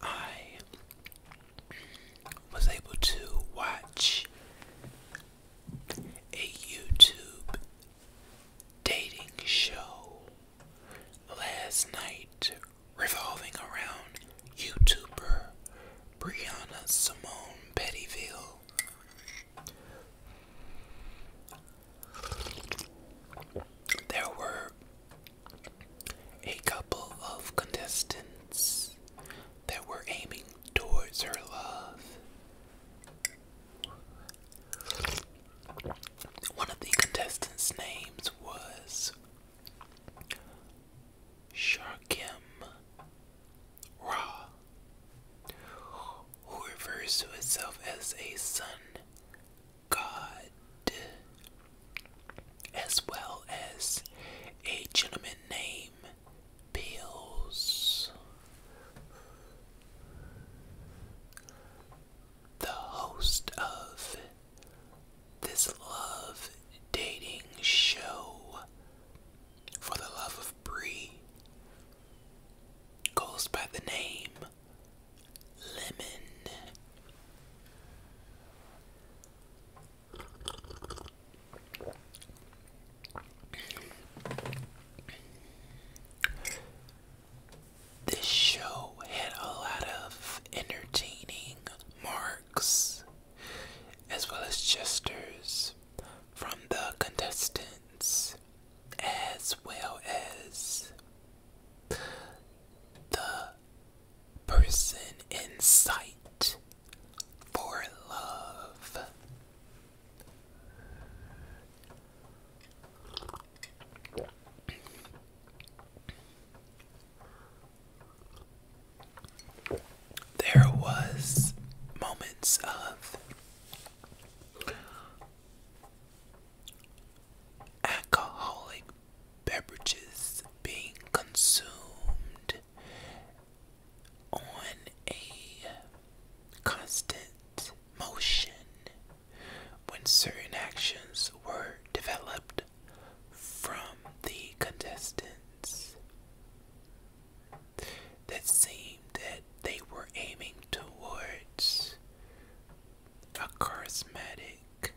I was able to watch a YouTube dating show last night revolving around YouTuber Brianna Simone Pettyville. There were a couple of contestants that were aiming towards her love. One of the contestants' names was Sharkim Ra, who refers to himself as a sun god, as well as a gentleman named Bills. The host of this love dating show for the love of Brie goes by the name lemon. This show had a lot of entertaining marks as well as gestures from the contestants as well as the person in sight for love. There was moments of alcoholic beverages being consumed on a constant motion when certain actions were developed from the contestants that seemed that they were aiming towards a charismatic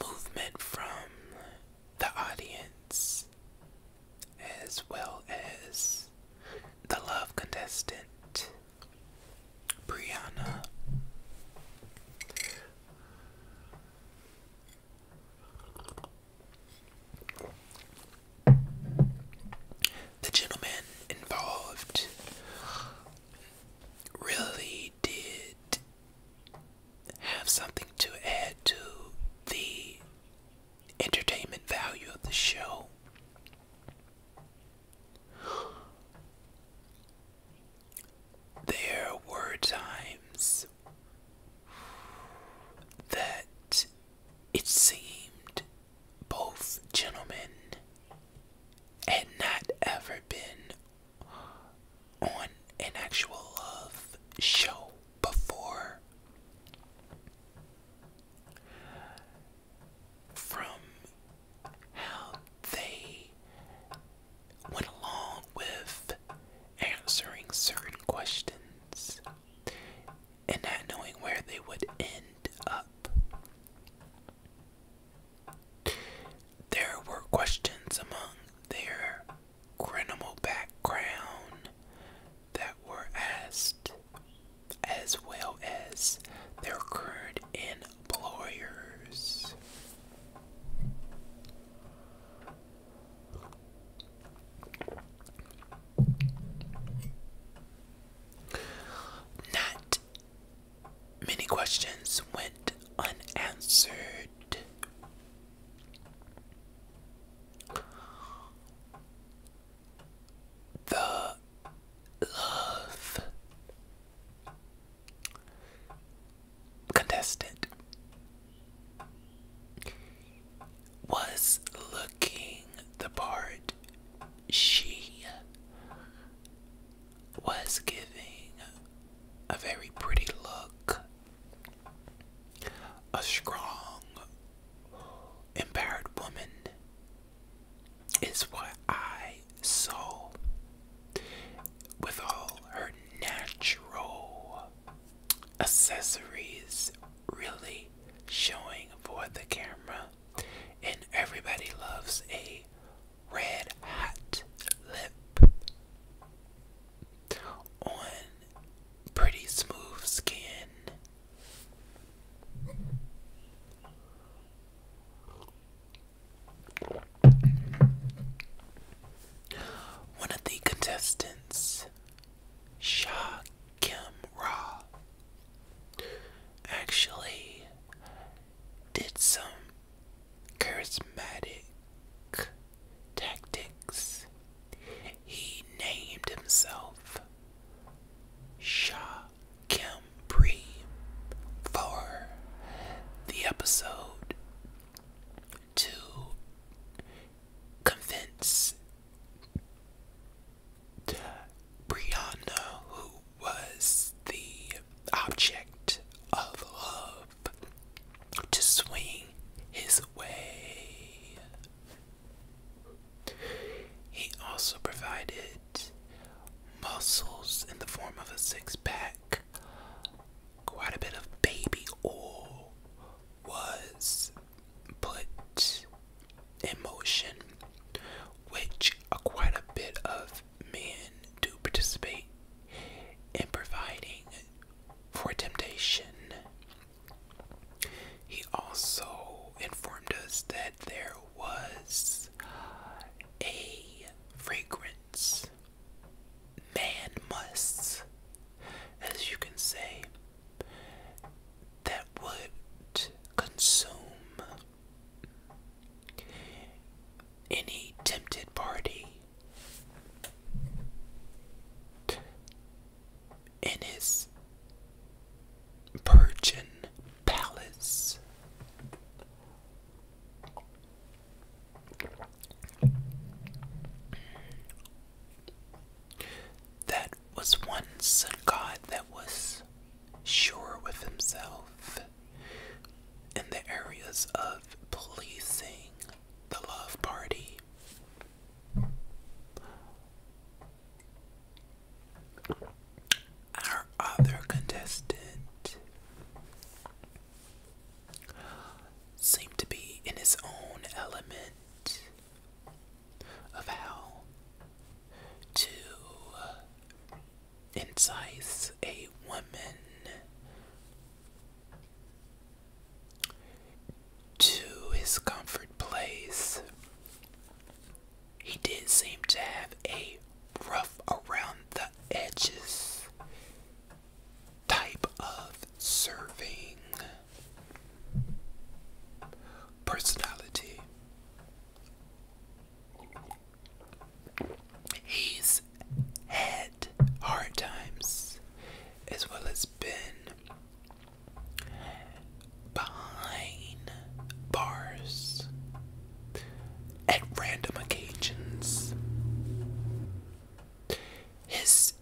movement from the audience as well as the love contestant Brianna. The gentleman involved really did have something to add to the entertainment value of the show. There were times that it seemed both gentlemen had not ever been on an actual love show before. From how they went along with answering certain questions and not knowing where they would end up. There were questions among their criminal background that were asked, as well as their current employers. Not many questions went unanswered. The love contestant was looking the part she was giving a very pretty look, a strong, impaired woman is what I saw with all her natural accessories really showing for the camera and everybody loves a red hot lip on pretty smooth skin. One of the contestants, Shock Kimra actually did some charismatic tactics. He named himself Shah Kemri for the episode to convince Brianna, who was the object of love, to swing his way. He also provided muscles in the form of a six pack. Quite a bit of baby oil was put emotion, which a, quite a bit of men do participate in providing for temptation. He also informed us that there was a fragrance man must, as you can say, that would consume any tempted party in his virgin palace. That was once a god that was sure with himself in the areas of pleasing the love party. Our other contestant seemed to be in his own element of how to incise a woman to his comfort place. He did seem to have a rough around the edges type of serving personality. He's had hard times as well as been behind bars at random occasions. His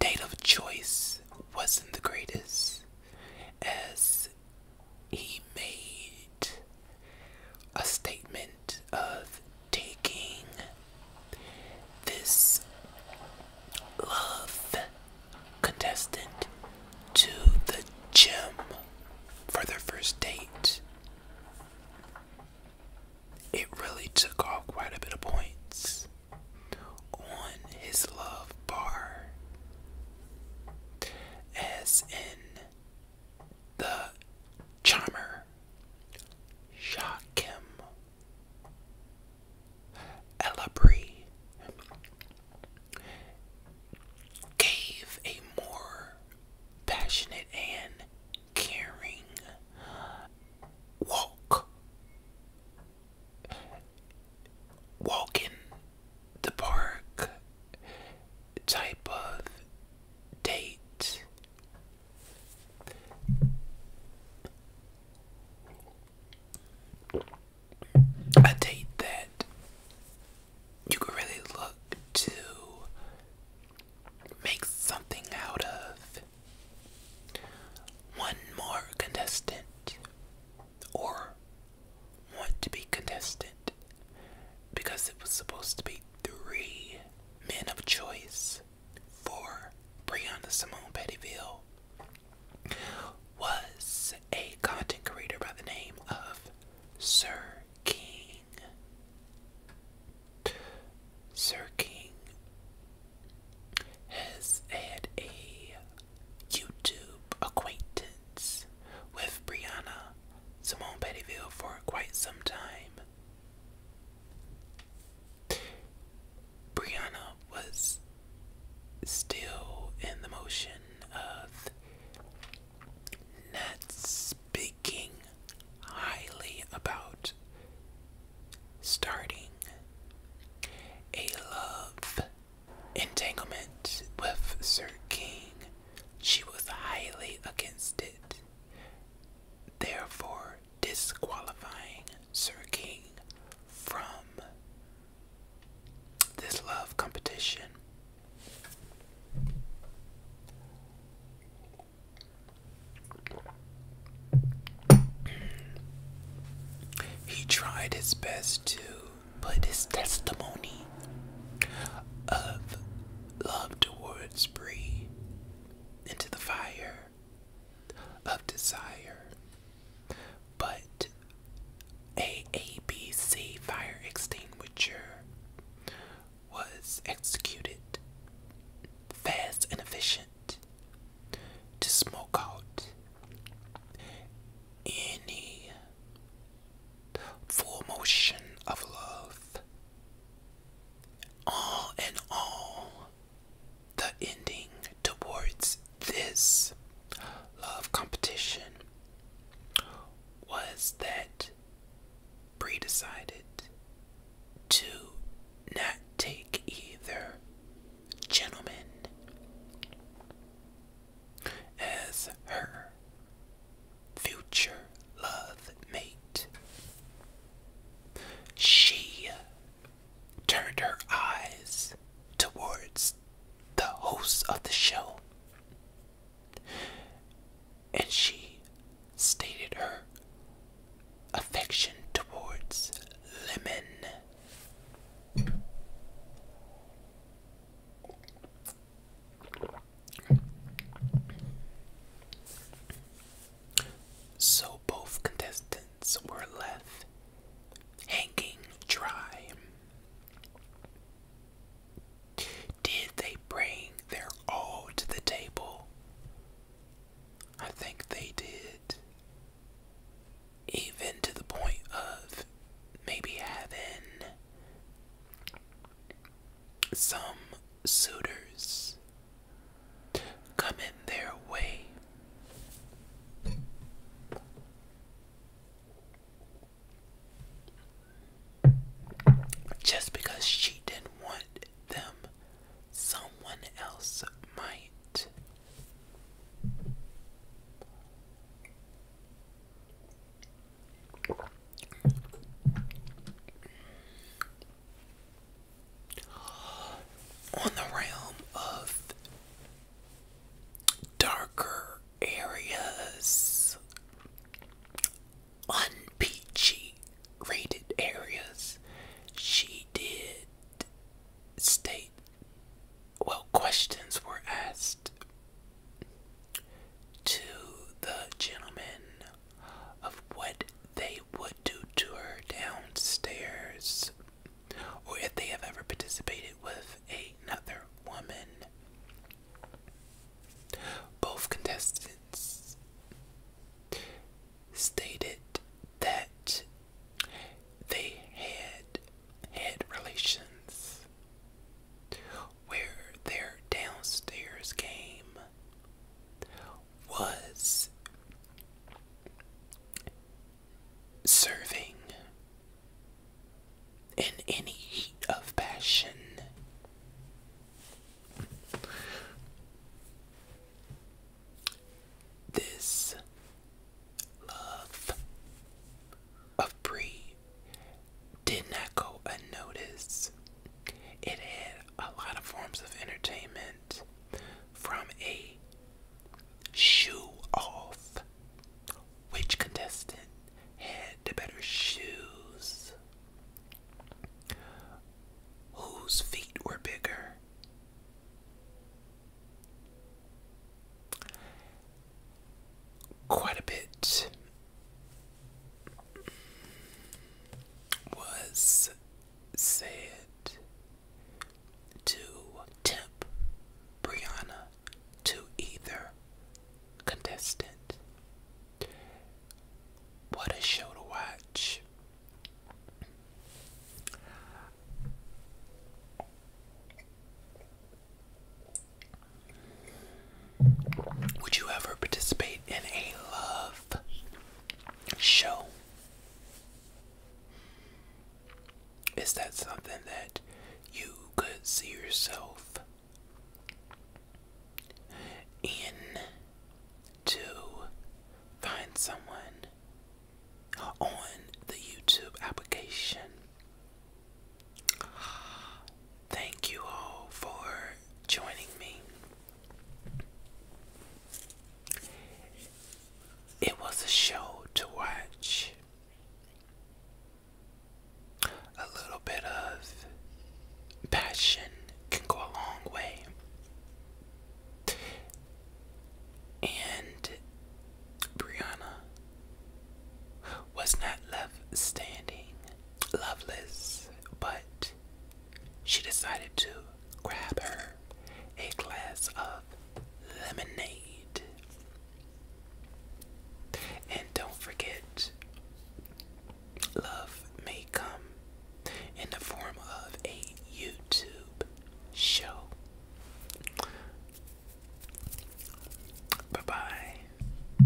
date of choice wasn't the greatest, as he made a statement of taking this love contestant to the gym for their first date. It really took off quite a bit of points on his love bar as in the charmer, Shakim, Elabri, gave a more passionate and caring walk. Walking the park type of date. A date that you could really look to make something out of. One more contestant or want to be contestant because it was supposed to be three men of choice for Brianna Simone Pettyville was a content creator by the name of Sir King. Sir King has had a YouTube acquaintance with Brianna Simone Pettyville for quite some time. Brianna was still in the motion of not speaking highly about starting a love entanglement with Sir King, she was highly against it, therefore disqualifying Sir King from this love competition. He tried his best to but his testimony of love towards Bree into the fire of desire. But a ABC fire extinguisher was executed fast and efficient to smoke out any full motion of love. All in all, the ending towards this love competition was that Bree decided to not take either gentleman as her future love mate. She turned her eyes towards the host of the show and she stated her affection towards Lemon. So both contestants were left hanging dry. Did they bring their all to the table? I think they did. Even to the point of maybe having some suitors coming their way. Just because she didn't want them, someone else might. On the realm of darker areas, unpeachy rated areas, she did state. Well, questions were asked to the gentlemen, of what they would do to her downstairs, or if they have ever participated with another woman. Both contestants stated that they had had relations where their downstairs game was serving in any heat of passion. This love of Bree did not go unnoticed. It had a lot of forms of entertainment from a shoe off. Which contestant had the better shoes? Whose feet were bigger? quite a bit was said to tempt Brianna to either contestant. What a show to watch! Would you ever participate in a love show? Is that something that you could see yourself in to find someone on the YouTube application? Thank you all for joining me. It was a show to watch. A little bit of passion can go a long way. And Brianna, was not left standing loveless, but she decided to grab her a glass of lemonade. And don't forget, love may come in the form of a YouTube show. Bye bye.